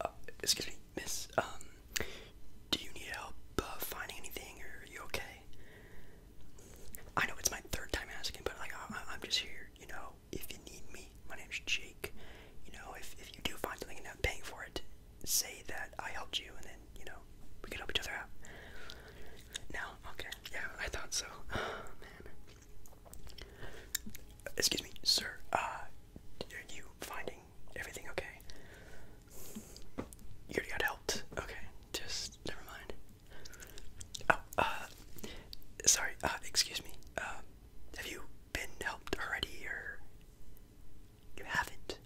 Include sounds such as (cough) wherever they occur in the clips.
Uh, excuse me, miss. Um, do you need help uh, finding anything, or are you okay? I know it's my third time asking, but like I, am just here. You know, if you need me, my name's Jake. You know, if if you do find something and I'm paying for it, say that I helped you, and then you know we can help each other out. No, okay, yeah, I thought so. (sighs) Oh, man. Excuse me, sir. Uh, are you finding everything okay? You already got helped. Okay, just never mind. Oh, uh, sorry. Uh, excuse me. Uh, have you been helped already, or you haven't?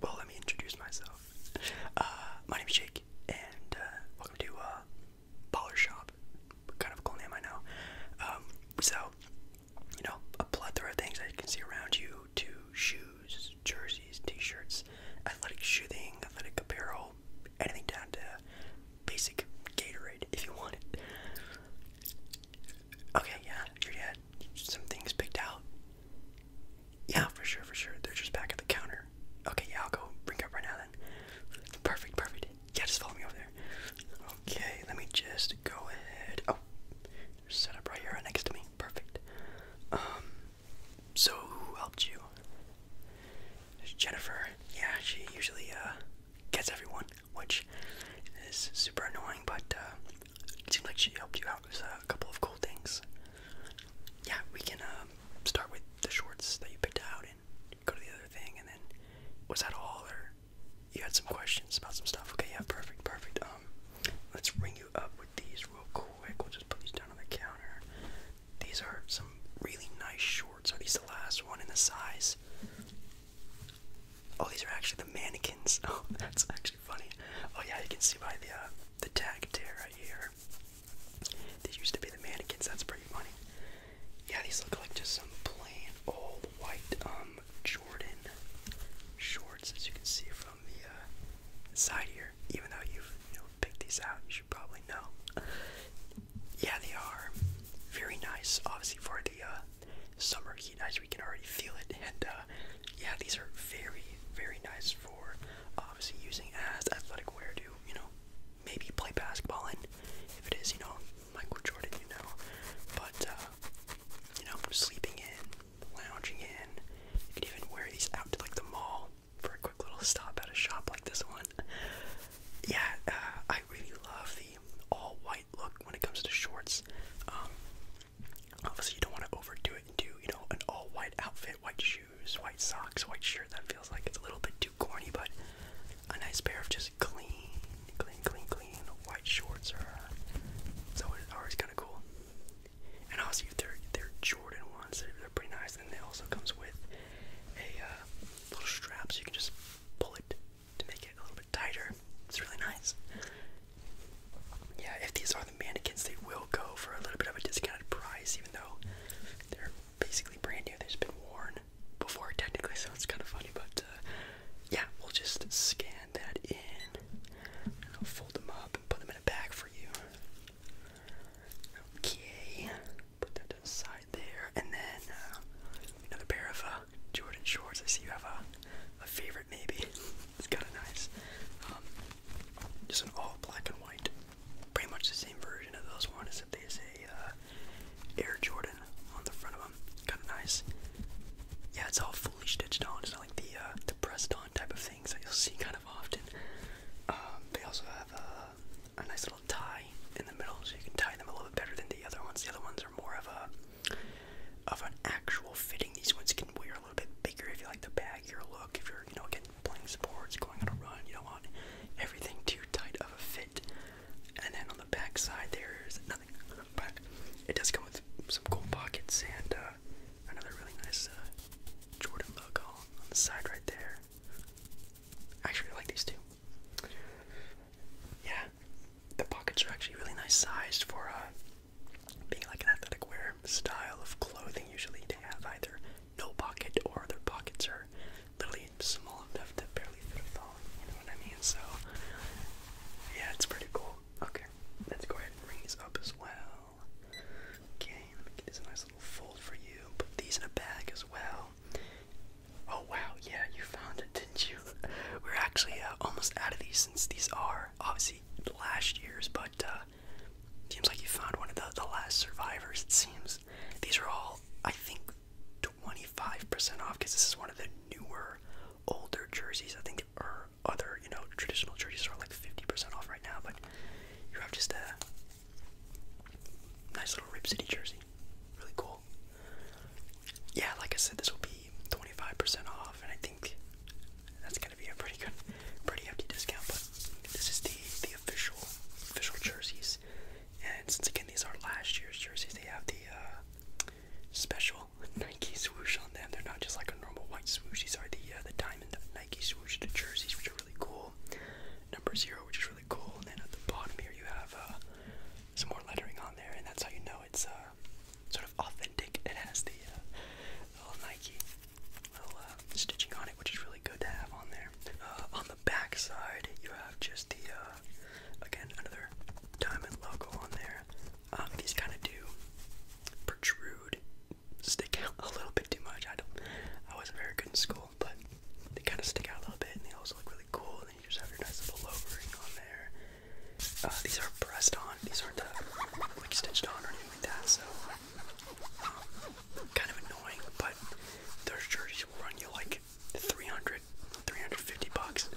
Well, let me introduce myself. Uh, my name is Jake, and uh, welcome to uh, baller shop. kind of a cool name I know. Um, so, you know, a plethora of things that you can see around you to shoes, jerseys, t shirts, athletic shooting, athletic apparel, anything down to basic Gatorade if you want it. Okay, yeah, you had some things picked out. Yeah, for sure, for sure. They're just back at the counter. Okay, yeah, I'll go bring up right now then. Perfect, perfect. Yeah, just follow me over there. Okay, let me just go ahead. Oh, set up right here next to me. Perfect. Um, so who helped you? Jennifer. Yeah, she usually uh gets everyone, which is super annoying, but uh, seems like she helped you out with a couple of cool things. Yeah, we can um, start with the shorts that you picked out go to the other thing, and then was that all? Or you had some questions about some stuff? Okay, yeah, perfect, perfect. Um, let's ring you up with these real quick. We'll just put these down on the counter. These are some really nice shorts. Are these the last one in the size? Oh, these are actually the mannequins. (laughs) Oh, that's actually funny. Oh yeah, you can see by the uh, the tag tear right here there. These used to be the mannequins, that's pretty funny. Yeah, these look like just some plain old white um Jordan shorts as you can see from the uh, side here. Even though you've you know picked these out, you should probably know. Yeah, they are very nice, obviously for the uh, summer heat as we can already feel it and uh, yeah, these are very, very nice for obviously using as athletic wear to, you know, maybe play basketball in. If it is, you know, Michael Jordan, you know. But, uh, you know, sleeping in, lounging in. You can even wear these out to, like, the mall for a quick little stop at a shop like this one. Yeah, uh, I really love the all white look when it comes to shorts. Um, obviously, you don't want to overdo it and do, you know, an all white outfit, white shoes white socks, white shirt. That feels like it's a little bit too corny, but a nice pair of just clean, clean, clean, clean white shorts are always kind of cool. And also, if they're they're Jordan ones, they're, pretty nice. And it also comes with a uh, little strap, so you can just pull it to make it a little bit tighter. It's really nice. Yeah, if these are the mannequins, they will go for a little bit of a discounted price, even though they're basically brand new. They've been worn before, technically, so it's kind of funny. But uh, yeah, we'll just scan that in. I'll fold them up and put them in a bag for you. Okay, put that inside there, and then uh, another pair of uh, Jordan shorts. I see you have a, a favorite, maybe. (laughs) it's kind of nice. Um, just an all black and white, pretty much the same version of those ones, except they say uh, Air Jordan on the front of them. Kind of nice. Yeah, it's all fully stitched on. It's not like the uh, the pressed on type of things that you'll see kind of often. Um, they also have uh, a, nice little tie in the middle, so you can tie them a little bit better than the other ones. The other ones are more of a of an actual fitting. These ones can wear a little bit bigger if you like the baggier look. If you're you know again playing sports, going on a run, you don't want everything too tight of a fit. And then on the back side, there's nothing. it does come with some cool pockets and uh, another really nice uh, Jordan logo on the side right there. Actually, I like these two. Yeah, the pockets are actually really nice sized for uh, being like an athletic wear style of clothing. Usually, to have either no pocket or their pockets are literally small enough to barely fit a phone. You know what I mean? So yeah, it's pretty cool. Okay, let's go ahead and ring these up as well. Okay, let me get this nice little fold for you. Put these in a bag as well. Oh wow, yeah, you found it, didn't you? (laughs) We're actually uh, almost out of these since these are obviously last year's, but uh, seems like you found one of the, last survivors, it seems. These are all, I think, 25% off because this is one of the newer, older jerseys. I think other, you know, traditional jerseys are like 50% off right now, but you have just a nice little Rip City jersey. Really cool. Yeah, like I said, this will be 25% off, and I think that's gonna be a pretty good, pretty hefty discount. But this is the the official official jerseys, and since again these are last year's jerseys, they have the uh, special (laughs) Nike swoosh on them. They're not just like a normal white swoosh. These are the uh, the diamond Nike swoosh jerseys, which are really cool. Number zero, which is really cool, and then at the bottom here you have uh, some more lettering on there, and that's how you know it's sort of authentic. It has the uh, little Nike uh, stitching on it, which is really good to have on there. Uh, on the back side, you have just the uh, again another diamond logo on there. Um, these kind of do protrude, stick out (laughs) a little bit too much. I don't, I wasn't very good in school, but they kind of stick out a little bit, and they also look really cool. And then you just have your nice little logo on there. these are pressed on; these aren't like stitched on or anything like that. So Kind of annoying, but those jerseys will run you like 300, 350 bucks.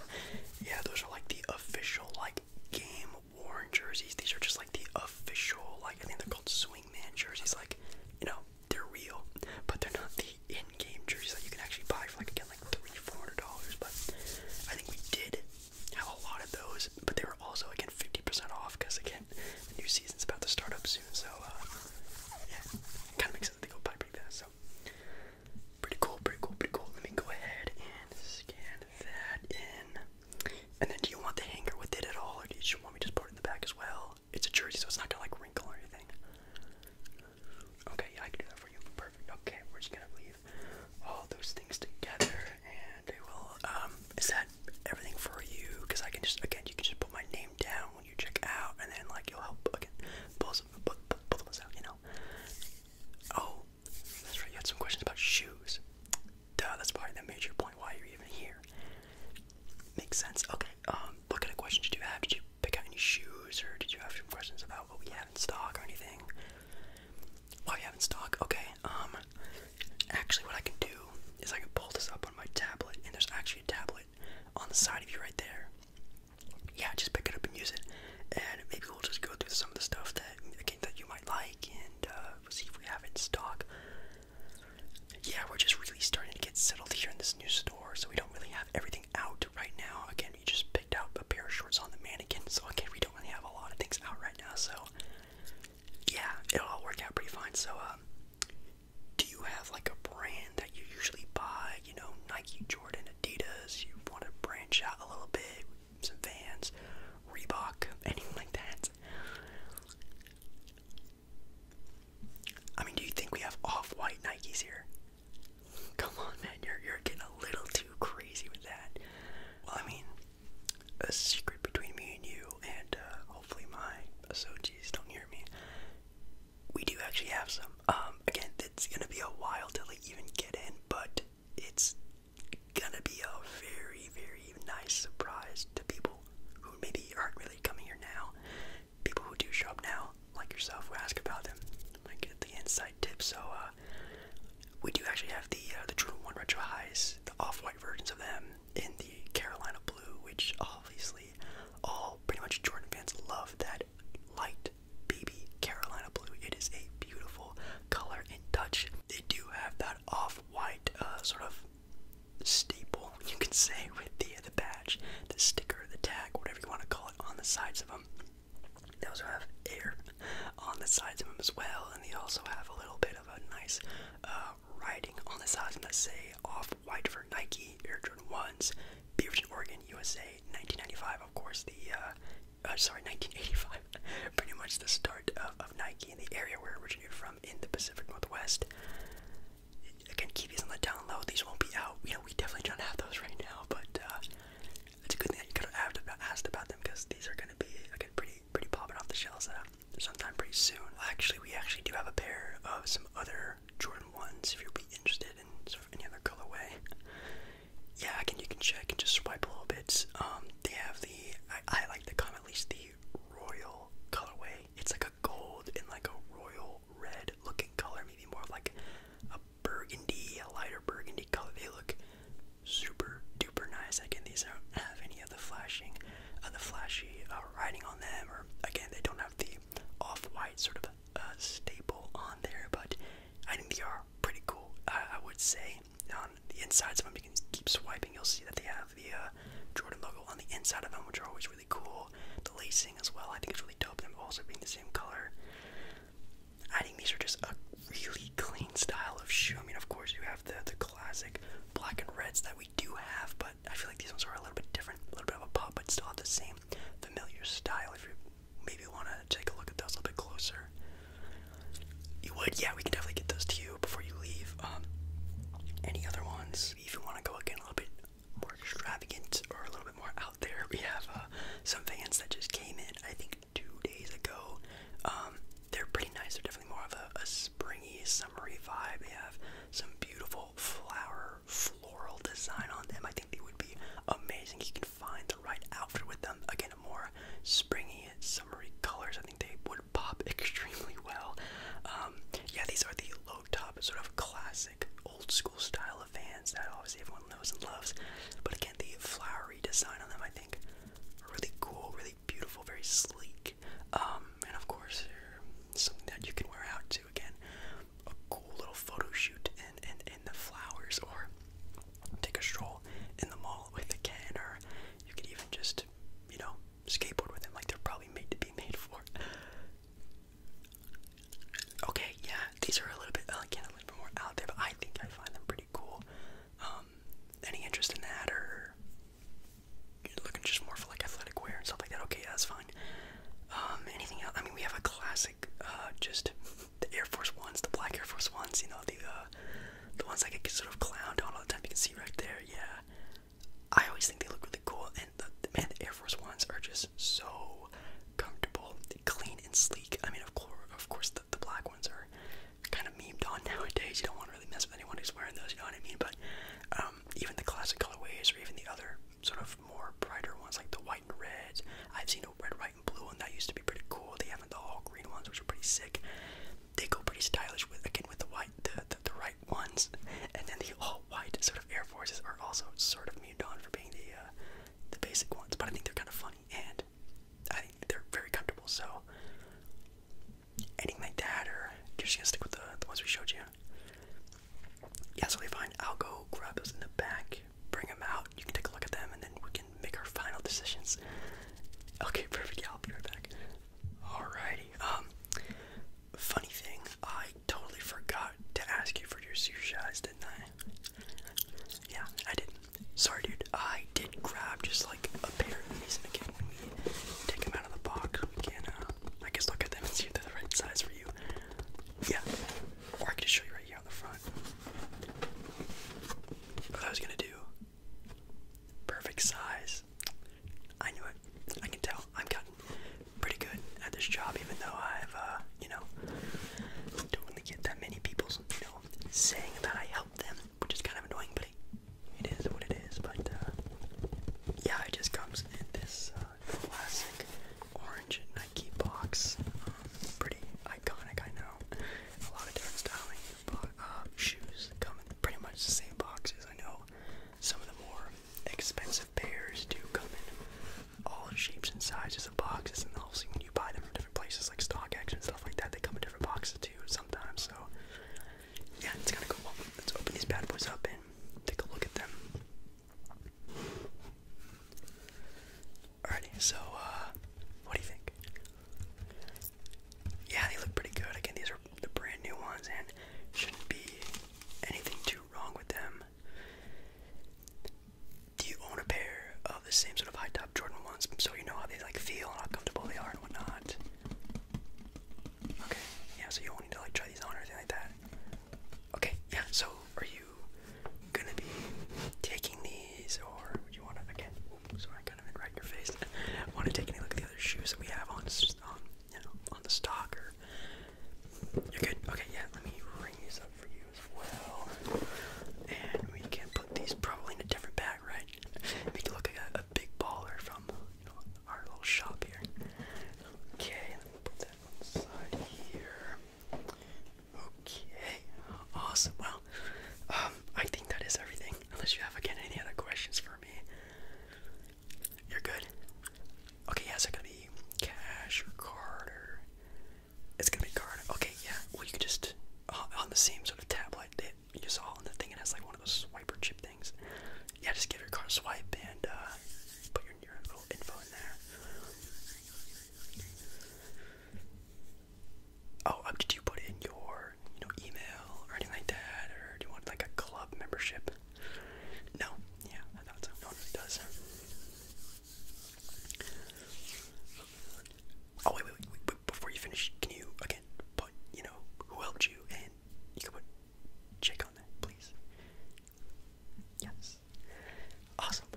Yeah, those are like the official, like game worn jerseys. These are just like the official, like I think they're called swingman jerseys. Like, you know, they're real, but they're not the in-game jerseys that you can actually buy for like again like three, four hundred dollars. But I think we did have a lot of those, but they were also again 50% off because again the new season's about to start up soon. So uh, yeah, kind of makes sense that they go by So pretty cool, pretty cool, pretty cool. Let me go ahead and scan that in. And then, do you want the hanger with it at all, or do you just want me to just put it in the back as well? It's a jersey, so it's not gonna like wrinkle or anything. Okay, yeah, I can do that for you. Perfect. Okay, we're just gonna leave all those things together, and I will. Um, is that everything for you? Because I can just again, you can just put my name down when you check out, and then like you'll help again both both, both of us out, you know. Oh, that's right. You had some questions about shoes. that's probably the major point why you're even here. Makes sense. Okay. Um, what kind of questions did you have? Did you pick out any shoes, or did you have some questions about what we have in stock or anything? Why oh, have in stock? Okay. Um, actually, what I can do is I can pull this up on my tablet, and there's actually a tablet on the side of you right there. Yeah, just pick it up and use it, and maybe we'll just go through some of the stuff that again that you might like, and uh, we'll see if we have it in stock. Yeah, we're just really starting to get settled here in this new store, so we don't really have everything out right now. Again, we just picked out a pair of shorts on the mannequin, so again, we don't really have a lot of things out right now. So yeah, it'll all work out pretty fine. So, um, do you have like a brand that you usually buy? You know, Nike, Jordan, Adidas. You want to branch out a little bit, some Vans, Reebok, (laughs) anything like that. I mean, do you think we have off-white Nikes here? Come on, man, you're you're getting a little too crazy with that. Well, I mean, a secret between me and you, and uh, hopefully my associates don't hear me. We do actually have some. Um, again, it's gonna be a while till they even get in, but it's gonna be a very, very nice surprise to people who maybe aren't really coming here now. People who do show up now, like yourself, who ask about them, might get the inside tip. So, uh, we do actually have the uh, the Jordan One Retro Highs, the off-white versions of them in the Carolina blue, which obviously all pretty much Jordan fans love that light baby Carolina blue. It is a beautiful color in touch. They do have that off-white uh, sort of staple, (laughs) you can say, with the the badge, the sticker, the tag, whatever you want to call it, on the sides of them. They also have air on the sides of them as well, and they also have a little bit of a nice uh, writing on the sides of them that say off white for Nike, Air Jordan 1s, Beaverton, Oregon, USA, 1995, of course, the uh, uh, sorry, 1985, (laughs) pretty much the start of, Nike in the area where it originated from in the Pacific Northwest. Again, keep these on the down These won't be out. You know, we definitely don't have those right now, but uh, it's a good thing that you could have asked about them because these are gonna be like pretty pretty popping off the shelves uh, sometime pretty soon. Actually, we actually do have a pair of some other Jordan ones if you'd be interested in sort of any other colorway. Yeah, I can you can check and just swipe a little bit. Um, they have the I, like to call at least the royal colorway. It's like a gold and like a royal red looking color, maybe more like a burgundy, a lighter burgundy color. They look super duper nice. Again, these don't have any of the flashing, uh, the flashy uh, writing on them, or again, they don't have the off-white sort of uh, staple on there. But I think they are pretty cool. I would say on the insides of them, you can keep swiping. You'll see that they have the uh, Jordan logo on the inside of them, which are always really cool. The lacing as well. I think it's really dope. Them also being the same color. I think these are just a really clean style of shoe. I mean, of course, you have the the classic black and reds that we do have, but I feel like these ones are a little bit different, a little bit of a pop, but still have the same familiar style. If you maybe want to take a look at those a little bit closer, you would. Yeah, we can definitely get those to you before you leave. Um, any other ones? If you want to go again a little bit more extravagant or a little bit more out there, we have uh, some vans that just came in. I think two days ago. Um, they're pretty nice. They're definitely more of a, springy, summery vibe. They have some beautiful flower, floral design on them. I think they would be amazing. You can find the right outfit with them. Again, more springy, summery colors. I think they would pop (laughs) extremely well. Um, yeah, these are the low top, sort of classic, old school style of Vans that obviously everyone everyone knows and loves. But again, the flowery design on them, I think, are really cool, really beautiful, very sleek. Um, and of course, something that you can wear out to. Again, a cool little photo shoot in, in, in the flowers, or take a stroll in the mall with a can, or you could even just, you know, skateboard with them. Like they're probably made to be made for. Okay, yeah, these are a little bit again a little bit more out there, but I think I find them pretty cool. Um, any interest in that, or looking just more for like athletic wear and stuff like that? Okay, that's fine. Um, anything else? I mean, we have a classic, uh, just the Air Force Ones, the black Air Force Ones. You know, the uh, the ones that get sort of clowned on all the time. You can see right there. Yeah, I always think they look really cool, and the, man, the Air Force Ones are just so comfortable, clean, and sleek. I mean, of course, the, black ones are kind of memed on (laughs) nowadays. You don't want to really mess with anyone who's wearing those. You know what I mean? But um, even the classic colorways, or even the other sort of more brighter ones, like the white and red. I've seen a red, white, and blue one that used to be pretty cool. They have the all green ones, which are pretty sick. They go pretty stylish with again with the white, the the, the right ones, and then the all white sort of Air Forces are also sort of memed on for being the. Uh, the basic ones, but I think they're kind of funny and I think they're very comfortable. So anything like that, or you're just gonna stick with the, the ones we showed you. Yeah, so we find I'll go grab those in the back, bring them out. You can take a look at them, and then we can make our final decisions. Okay, (laughs) perfect. Yeah, I'll be right back. Alrighty. Um, funny thing, I totally forgot to ask you for your shoes, didn't I? Yeah, I did. Sorry, dude. I did grab just like a pair of these, and again, when we take them out of the box, we can, uh, I guess, look at them and see if they're the right size for you. Yeah, or I can show you right here on the front. What I was gonna do. Perfect size. I knew it. I can tell. i am gotten pretty good at this job, even though I've, uh, you know, don't really get that many people, you know, saying that I helped them, which is kind of annoying, but it, it is what it is. But uh, yeah, it just comes in this uh, classic orange Nike box. Um, pretty iconic, I know. A lot of different styling but, uh, shoes come in pretty much the same boxes. I know some of the more expensive pairs do come in all in shapes and sizes of boxes, and obviously when you buy them from different places like StockX and stuff like that, they come in different boxes too sometimes. So yeah, it's kind of cool. Let's open these bad boys up and take a look at them. Alrighty, so uh, what do you think? Yeah, they look pretty good. Again, these are the brand new ones, and shouldn't be anything too wrong with them do you own a pair of the same sort of high top Jordan ones so you know how they like feel and how comfortable they are and whatnot? Okay, yeah, so you won't need to like try these on or anything like that. Okay, yeah, so are you gonna be taking these or would you wanna again oops, sorry I kind of went right in your face. (laughs) wanna take any look at the other shoes that we have on um, you know, on the stock or you're good. Okay, yeah, let me ring these up for you as well. And we can put these probably in a different bag, right? Make it look like a, big baller from our little shop here. Okay, put that on the side here. Okay, awesome. Well, um, I think that is everything. Unless you have again any other questions for me. You're good. Okay, yeah, is it gonna be cash or card or it's gonna be card. Okay, yeah. Well, you could just uh, on the same sort of tablet that you saw on the thing. It has like one of those swiper chip things. Yeah, just give your card a swipe and uh, put your, little info in there. Oh, um, did you put in your you know email or anything like that, or do you want like a club membership? No, yeah, I thought so. No one really does. Oh wait, wait, wait, wait, Before you finish, can you again put you know who helped you and you can put check on that, please. Yes. Awesome.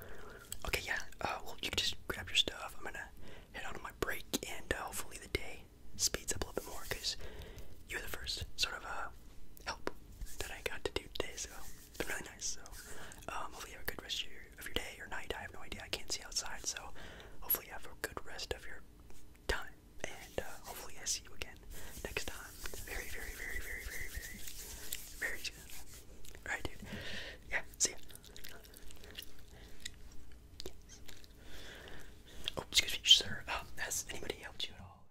Okay, yeah. Uh, well, you can just grab your stuff. I'm gonna head out on my break, and uh, hopefully the day speeds up a little bit more because you are the first sort of uh, help that I got to do today, so it's been really nice. So um, hopefully you have a good rest of your, of your day or night. I have no idea. I can't see outside, so hopefully you have a good rest of your time. And uh, hopefully I see you again next time. Very, very, very, very, very, very, very soon. Alright, dude. Yeah, see ya. Yes. Oh, excuse me, sir. Um, has anybody helped you at all?